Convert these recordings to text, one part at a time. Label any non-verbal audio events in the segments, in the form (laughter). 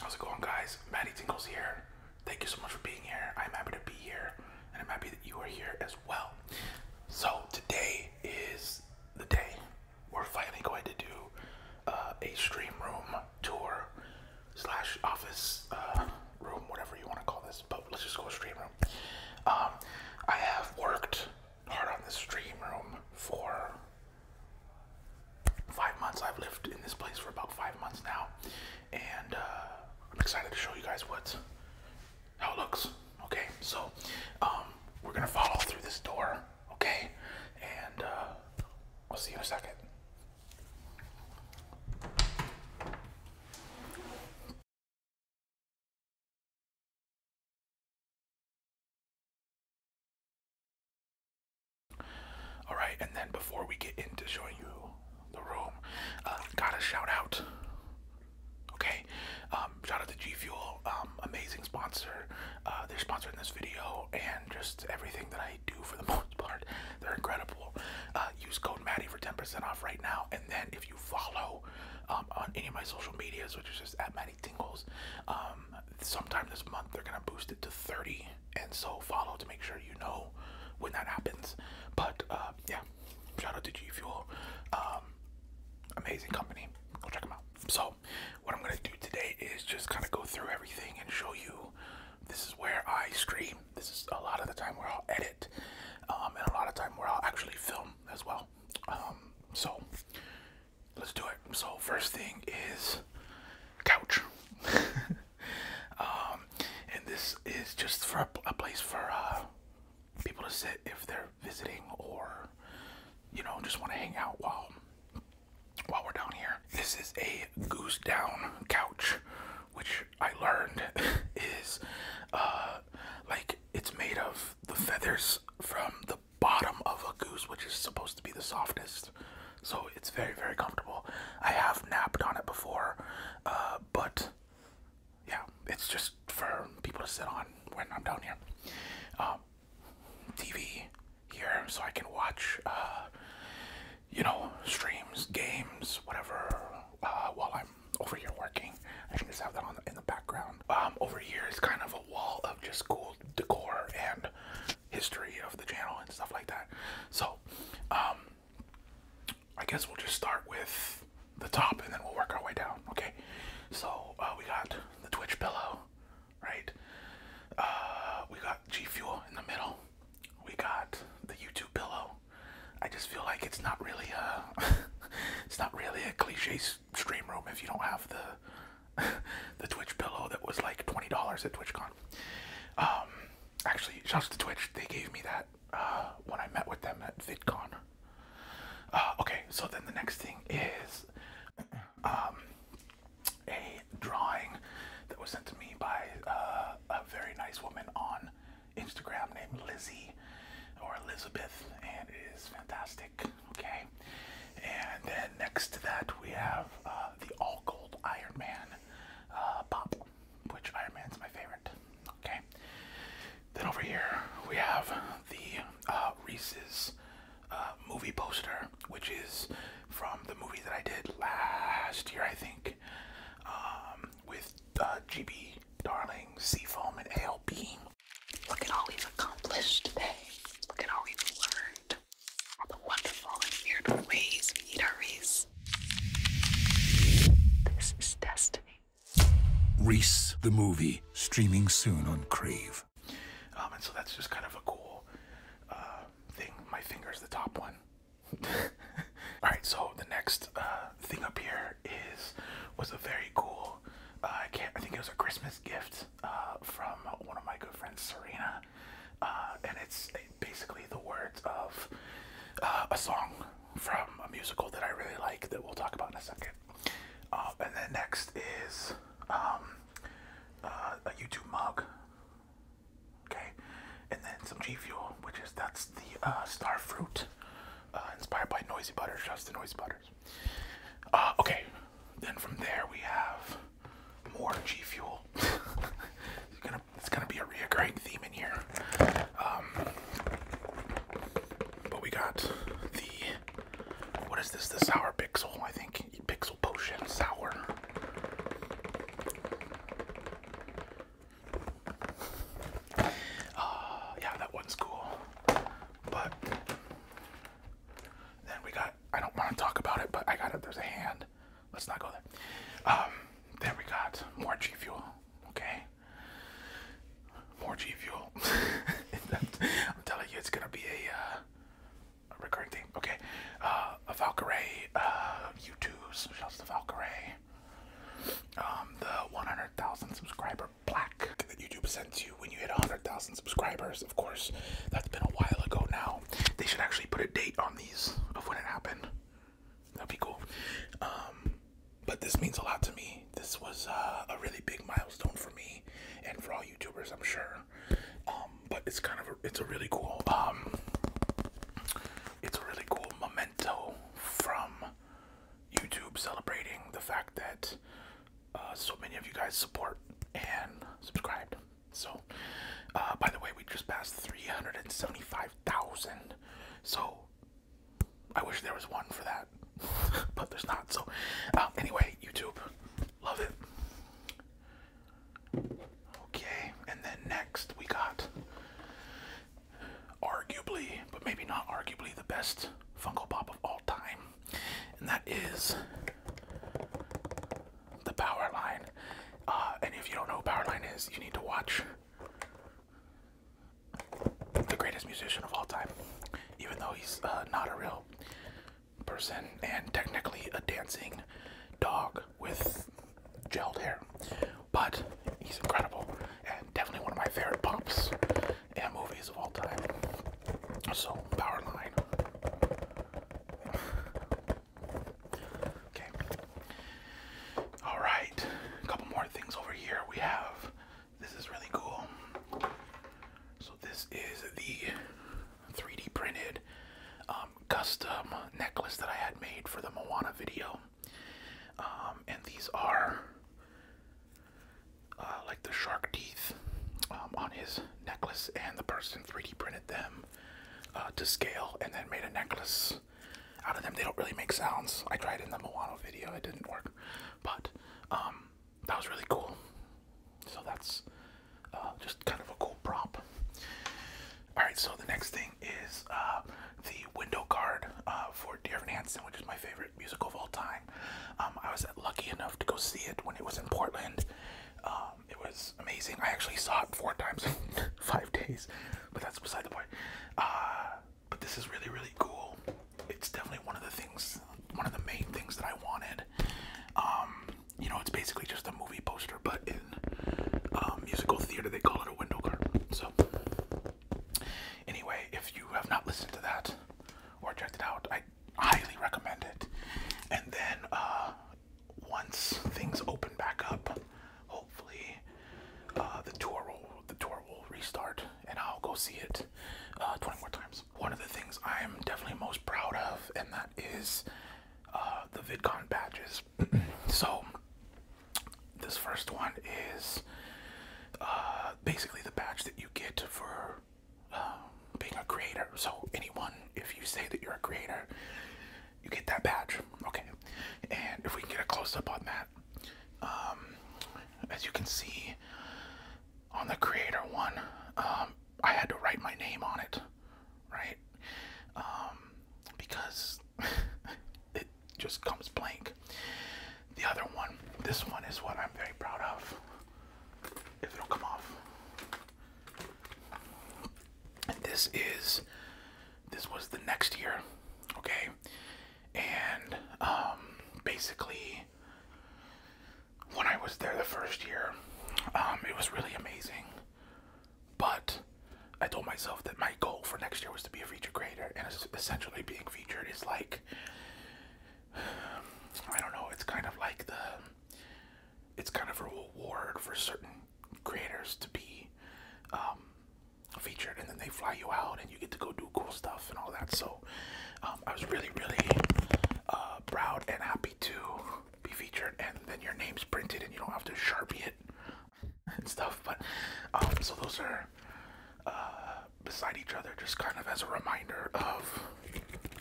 How's it going, guys? Maddie Tinkles here. Thank you so much for being here. I'm happy to be here, and I'm happy that you are here as well. So, today is the day we're finally going to do uh, a stream room tour slash office uh, room, whatever you want to call this, but let's just go stream room. Um, I have worked hard on this stream room for five months. I've lived in this place for about five months now, and uh, I'm excited to show you guys what's how it looks. Okay, so um, we're gonna follow through this door. Okay, and uh, I'll see you in a second. All right, and then before we get into showing you the room, uh, gotta shout out. Okay, um, shout out to G Fuel, um, amazing sponsor. Uh, they're sponsoring this video, and just everything that I do for the (laughs) most part. They're incredible. Uh, use code Maddie for 10% off right now. And then if you follow um, on any of my social medias, which is just at Maddie Tingles, um, sometime this month they're going to boost it to 30. And so follow to make sure you know when that happens. But uh, yeah, shout out to G Fuel. Um, amazing company. Go check them out. So, what I'm going to do today is just kind of go through everything and show you this is where I stream this is a lot of the time where I'll edit, um, and a lot of time where I'll actually film as well. Um, so let's do it. So first thing is couch, (laughs) um, and this is just for a, place for uh, people to sit if they're visiting or you know just want to hang out while while we're down here. This is a goose down couch, which I learned (laughs) is uh, like it's made of the feathers from the bottom of a goose, which is supposed to be the softest. So it's very, very comfortable. I have napped on it before, uh, but yeah, it's just for people to sit on when I'm down here. Um, TV here, so I can watch uh, you know, streams, games, whatever, uh, while I'm over here working. I can just have that on the, in the background. Um, over here is kind of a wall of just cool decor and history of the channel and stuff like that. So, um, I guess we'll just start with the top and then we'll work our way down, okay? So, uh, we got the Twitch pillow, right? Uh, we got G Fuel in the middle we got the YouTube pillow. I just feel like it's not really a, (laughs) it's not really a cliche stream room if you don't have the, (laughs) the Twitch pillow that was like twenty dollars at TwitchCon. Um, actually, shouts to Twitch. They gave me that uh, when I met with them at VidCon. Uh, okay, so then the next thing is um, a drawing that was sent to me by uh, a, very nice woman on Instagram named Lizzie or Elizabeth, and it is fantastic. Okay, and then next to that we have uh, the all gold Iron Man uh, pop, which Iron Man's my favorite. Okay, then over here we have the uh, Reese's movie poster, which is from the movie that I did last year, I think. Um, with uh, GB Darling, Seafoam, and ALB. Look at all we've accomplished today. Look at all we've learned. All the wonderful and weird ways we eat our Reese. This is destiny. Reese the movie, streaming soon on Crave. Um, and so that's just kind of a cool uh, thing. My finger's the top one. (laughs) All right, so the next uh, thing up here is was a very cool. Uh, I can't. I think it was a Christmas gift uh, from one of my good friends, Serena, and it's eh, basically the words of a song from a musical that I really like that we'll talk about in a second. and then next is um, a YouTube mug Okay, and then some G Fuel, which is that's the uh, star fruit uh, inspired by Noisy Butters, just the Noisy Butters. Uh, okay, then from there we have more G Fuel. (laughs) it's, gonna, be a reoccurring theme in here. Um, but we got the what is this? The sour pixel, I think. Pixel potion sour. Uh, yeah, that one's cool. But then we got, I don't want to talk about it, but I got it. There's a hand. Let's not go there. Um, then we got more G Fuel. Okay. More G Fuel. (laughs) I'm telling you, it's going to be a, uh, recurring thing. Okay. Uh, uh, a Valkyrie, YouTube uh, U2's to Valkyrie, um, the 100,000 subscriber black that YouTube sends you when you hit 100,000 subscribers. Of course, that's been a while ago now. They should actually put a date on these of when it happened. That'd be cool. Um, but this means a lot to me. This was uh, a really big milestone for me and for all YouTubers, I'm sure. Um, but it's kind of it's a really cool um, it's a really cool memento from YouTube celebrating the fact that uh, so many of you guys support and subscribed. So, uh, by the way, we just passed 375,000. So, I wish there was one for that, (laughs) but there's not. So, um, anyway, YouTube, love it. Okay, and then next we got arguably, but maybe not arguably, the best Funko Pop of all time, and that is the Power uh, and if you don't know who is, you need to watch the greatest musician of all time, even though he's uh, not a real person and technically a dancing dog with gelled hair. But he's incredible and definitely one of my favorite pops and movies of all time. So, power line. Okay. Alright. A couple more things over here. We have this is really cool. So this is the 3D printed um, custom necklace that I had made for the Moana video. Um, and these are uh, like the shark teeth um, on his necklace, and the person 3D printed them uh, to scale and then made a necklace out of them. They don't really make sounds. I tried in the Moano video, it didn't work, but um, that was really cool. So that's uh, just kind of a cool prop. All right, so the next thing is uh, the window card uh, for Dear Evan Hansen, which is my favorite musical of all time. Um, I was lucky enough to go see it when it was in Portland. Um, it was amazing. I actually saw it four times in (laughs) five days, but that's beside the point. Uh, but this is really, really cool. It's definitely one of the things, one of the main things that I wanted. Um, you know, it's basically just a movie poster, but um, musical theater they call it a window cart. So anyway, if you have not listened to that or checked it out, I highly recommend it. And then uh, once things open back up, hopefully uh, the tour will the tour will restart, and I'll go see it uh, 20 more times. One of the things I am definitely most proud of, and that is the VidCon badges (clears throat) so, this first one is uh, basically the badge that you get for um, being a creator. So, anyone, if you say that you're a creator, you get that badge. Okay. And if we can get a close up on that, um, as you can see on the creator one, um, I had to write my name on it, right? because (laughs) it just comes blank. The other one, this one is what I'm very proud of. If it'll come off. this is this was the next year, okay? And um basically when I was there the first year, um, it was really amazing. But I told myself that my goal for next year was to be a feature creator, and essentially being featured is like I don't know. It's kind of like the it's kind of a reward for certain creators to be um, featured, and then they fly you out, and you get to go do cool stuff and all that. So um, I was really, really uh, proud and happy to be featured, and then your name's printed, and you don't have to sharpie it. (laughs) and stuff. But um, so those are uh, beside each other, just kind of as a reminder of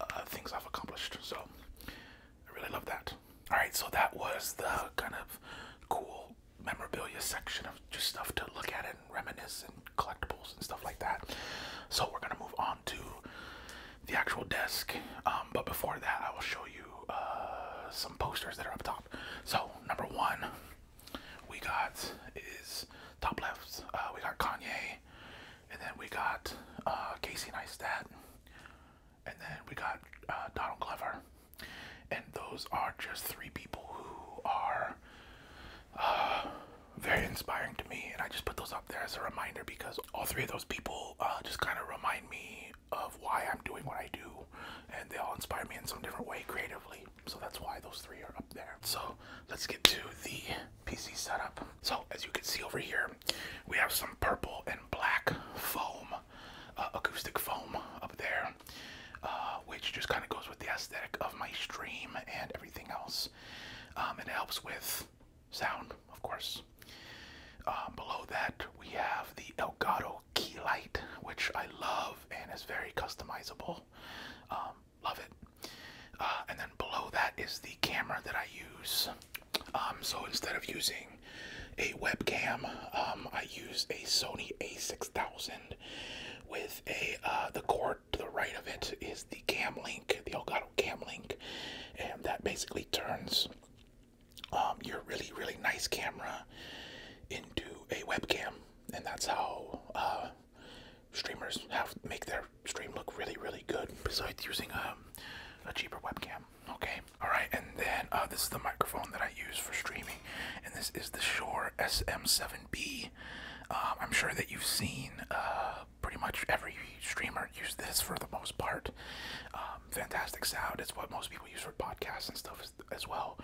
uh, things I've accomplished. So I really love that. All right, so that was the kind of cool memorabilia section of just stuff to look at and reminisce and collectibles and stuff like that. So we're gonna move on to the actual desk. Um, but before that, I will show you uh, some posters that are up top. So number one we got is top left. Uh, we got Kanye, and then we got uh, Casey Neistat, and then we got Donald Glover. And those are just three people who are very inspiring to me, and I just put those up there as a reminder because all three of those people uh, just kind of remind me of why I'm doing what I do, and they all inspire me in some different way creatively. So that's why those three are up there. So let's get to the PC setup. So as you can see over here, we have some purple and black foam, uh, acoustic foam up there, uh, which just kind of goes with the aesthetic of my stream and everything else. Um, it helps with sound, of course. Uh, below that, we have the Elgato key light, which I love and is very customizable. Um, love it. Uh, and then below that is the camera that I use. Um, so instead of using a webcam, um, I use a Sony A6000 with a uh, the cord to the right of it is the cam link, the Elgato cam link, and that basically turns um, your really, really nice camera into a webcam, and that's how uh, streamers have make their stream look really, really good. Besides using a, um, a cheaper webcam, okay. All right, and then uh, this is the microphone that I use for streaming, and this is the Shure SM7B. Um, I'm sure that you've seen uh, pretty much every streamer use this for the most part. Um, fantastic sound. It's what most people use for podcasts and stuff as well,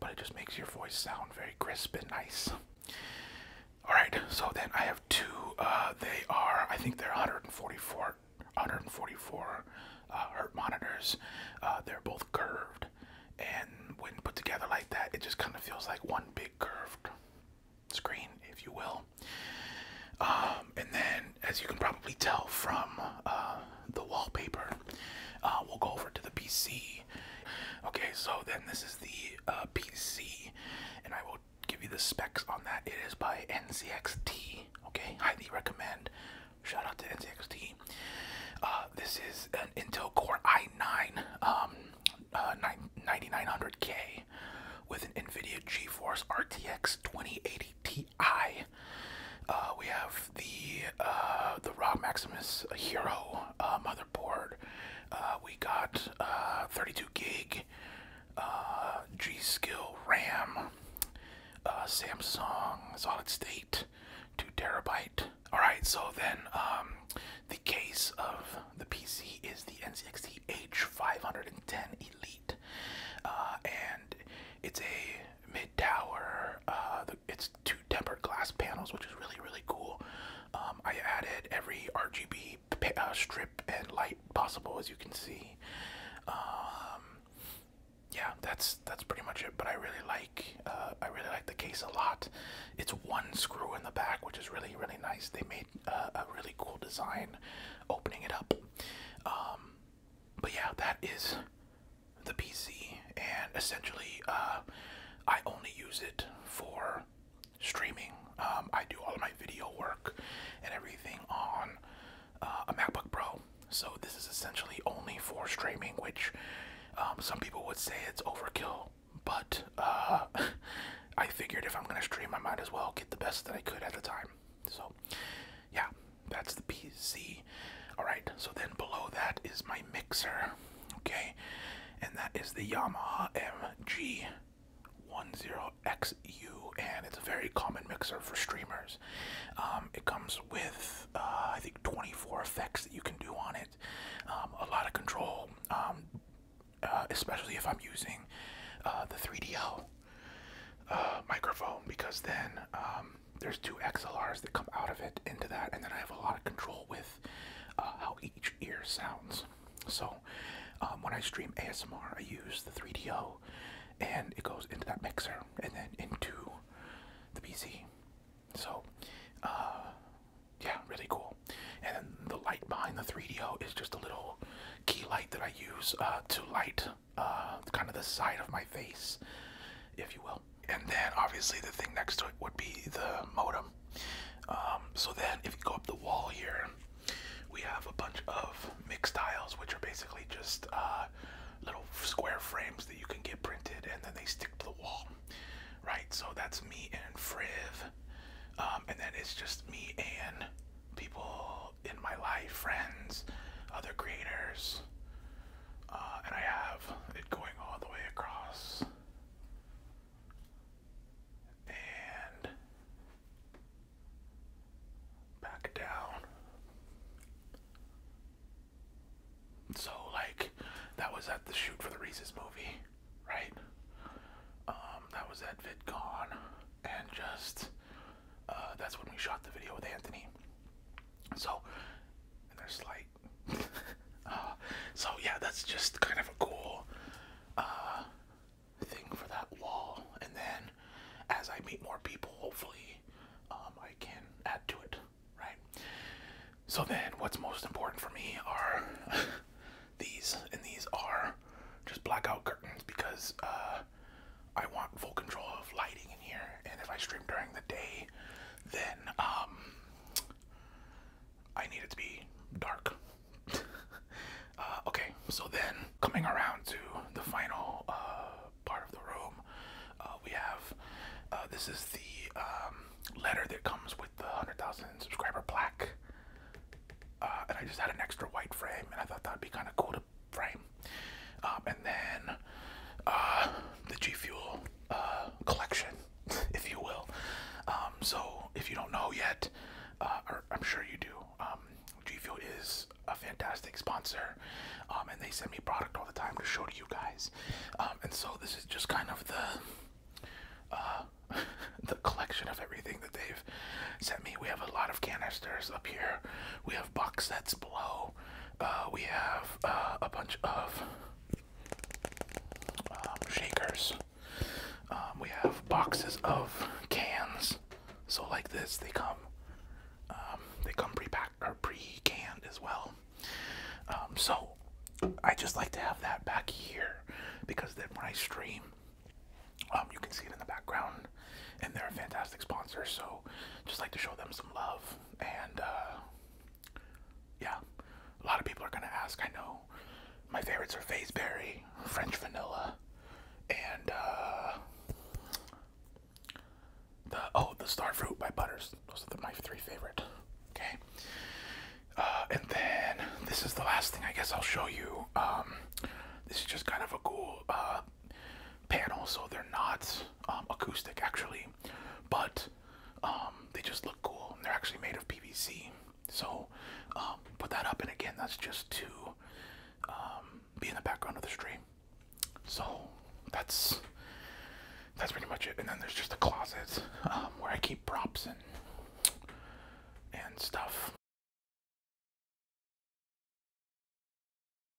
but it just makes your voice sound very crisp and nice. All right, so then I have two. Uh, they are, I think they're 144, 144 uh, hertz monitors. Uh, they're both curved, and when put together like that, it just kind of feels like one big curved screen, if you will. Um, and then, as you can probably tell from the wallpaper. Uh, we'll go over to the PC. Okay, so then this is the uh, PC, and I will give you the specs on that. It is by NCXT. Okay, highly recommend. Shout out to NCXT. Uh, this is an Intel Core i9 9900K um, with an NVIDIA GeForce RTX 2080 Ti, Uh, we have the uh, the Rob Maximus Hero uh, motherboard. Uh, we got uh, 32 gig uh, G Skill RAM. Uh, Samsung solid state, two terabyte. All right, so then um, the case of the PC is the NCXT H510 Elite, uh, and it's a mid tower. Uh, it's two tempered glass panels, which is really really cool. Um, I added every RGB uh, strip and light possible, as you can see. Um, yeah, that's that's pretty much it. But I really like uh, I really like the case a lot. It's one screw in the back, which is really really nice. They made uh, a really cool design opening it up. Um, but yeah, that is the PC, and essentially, uh, I only use it for streaming. Um, I do all of my video work and everything on uh, a MacBook Pro, so this is essentially only for streaming, which um, some people would say it's overkill, but uh, (laughs) I figured if I'm gonna stream, I might as well get the best that I could at the time. So, yeah, that's the PC. Alright, so then below that is my mixer, okay, and that is the Yamaha MG10XU, and it's a very common mixer for streamers. Um, it comes with, uh, I think, 24 effects that you can do on it, um, a lot of control, um, uh, especially if I'm using uh, the 3DL uh, microphone, because then um, there's two XLRs that come out of it into that, and then I have a lot of control with uh, how each ear sounds. So um, when I stream ASMR, I use the 3DO, and it goes into that mixer and then into the PC. So uh, yeah, really cool. And the light behind the 3DO is just a little key light that I use uh, to light kind of the side of my face, if you will. And then obviously the thing next to it would be the modem. Um, so then if you go up the wall here, we have a bunch of mixed tiles, which are basically just uh, little square frames that you can get printed and then they stick to the wall. Right, so that's me and Friv. Um, and then it's just me and people in my life, friends, other creators, uh, and I have it going all the way across. And back down. So, like, that was at the shoot for the Reese's movie, right? Um, that was at VidCon, and just uh, that's when we shot the video with Anthony. So, and there's like uh, so yeah, that's just kind of a cool uh, thing for that wall. And then, as I meet more people, hopefully, um, I can add to it. Right. So then, what's most important for me are (laughs) these, and these are just blackout curtains because uh, I want full control of lighting in here. And if I stream during the day, then um, I need it to be dark. (laughs) Uh, okay, so then coming around to the final uh, part of the room, uh, we have uh, this is the um, letter that comes with the 100,000 subscriber plaque. and I just had an extra white frame, and I thought that'd be kind of cool to frame. Um, and then the G Fuel uh, collection, (laughs) if you will. Um, so if you don't know yet, uh, I'm sure you do, um, G Fuel is a fantastic sponsor, um, and they send me product all the time to show to you guys. Um, and so this is just kind of the uh, (laughs) the collection of everything that they've sent me. We have a lot of canisters up here. We have box sets below. Uh, we have uh, a bunch of um, shakers. Um, we have boxes of cans. So like this, they come. Um, they come pre pack or pre-canned as well. so I just like to have that back here because then when I stream, you can see it in the background, and they're a fantastic sponsor. So just like to show them some love and. Uh, yeah, a lot of people are gonna ask. I know my favorites are Fazeberry, French Vanilla, and uh, the oh the Starfruit by Butters. Those are my three favorite. Okay, uh, and then this is the last thing I guess I'll show you. Um, this is just kind of a cool uh, panel, so they're not um, acoustic actually, but um, they just look cool. They're actually made of PVC. So um, put that up, and again, that's just to um, be in the background of the stream. So that's that's pretty much it. And then there's just a closet where I keep props and and stuff.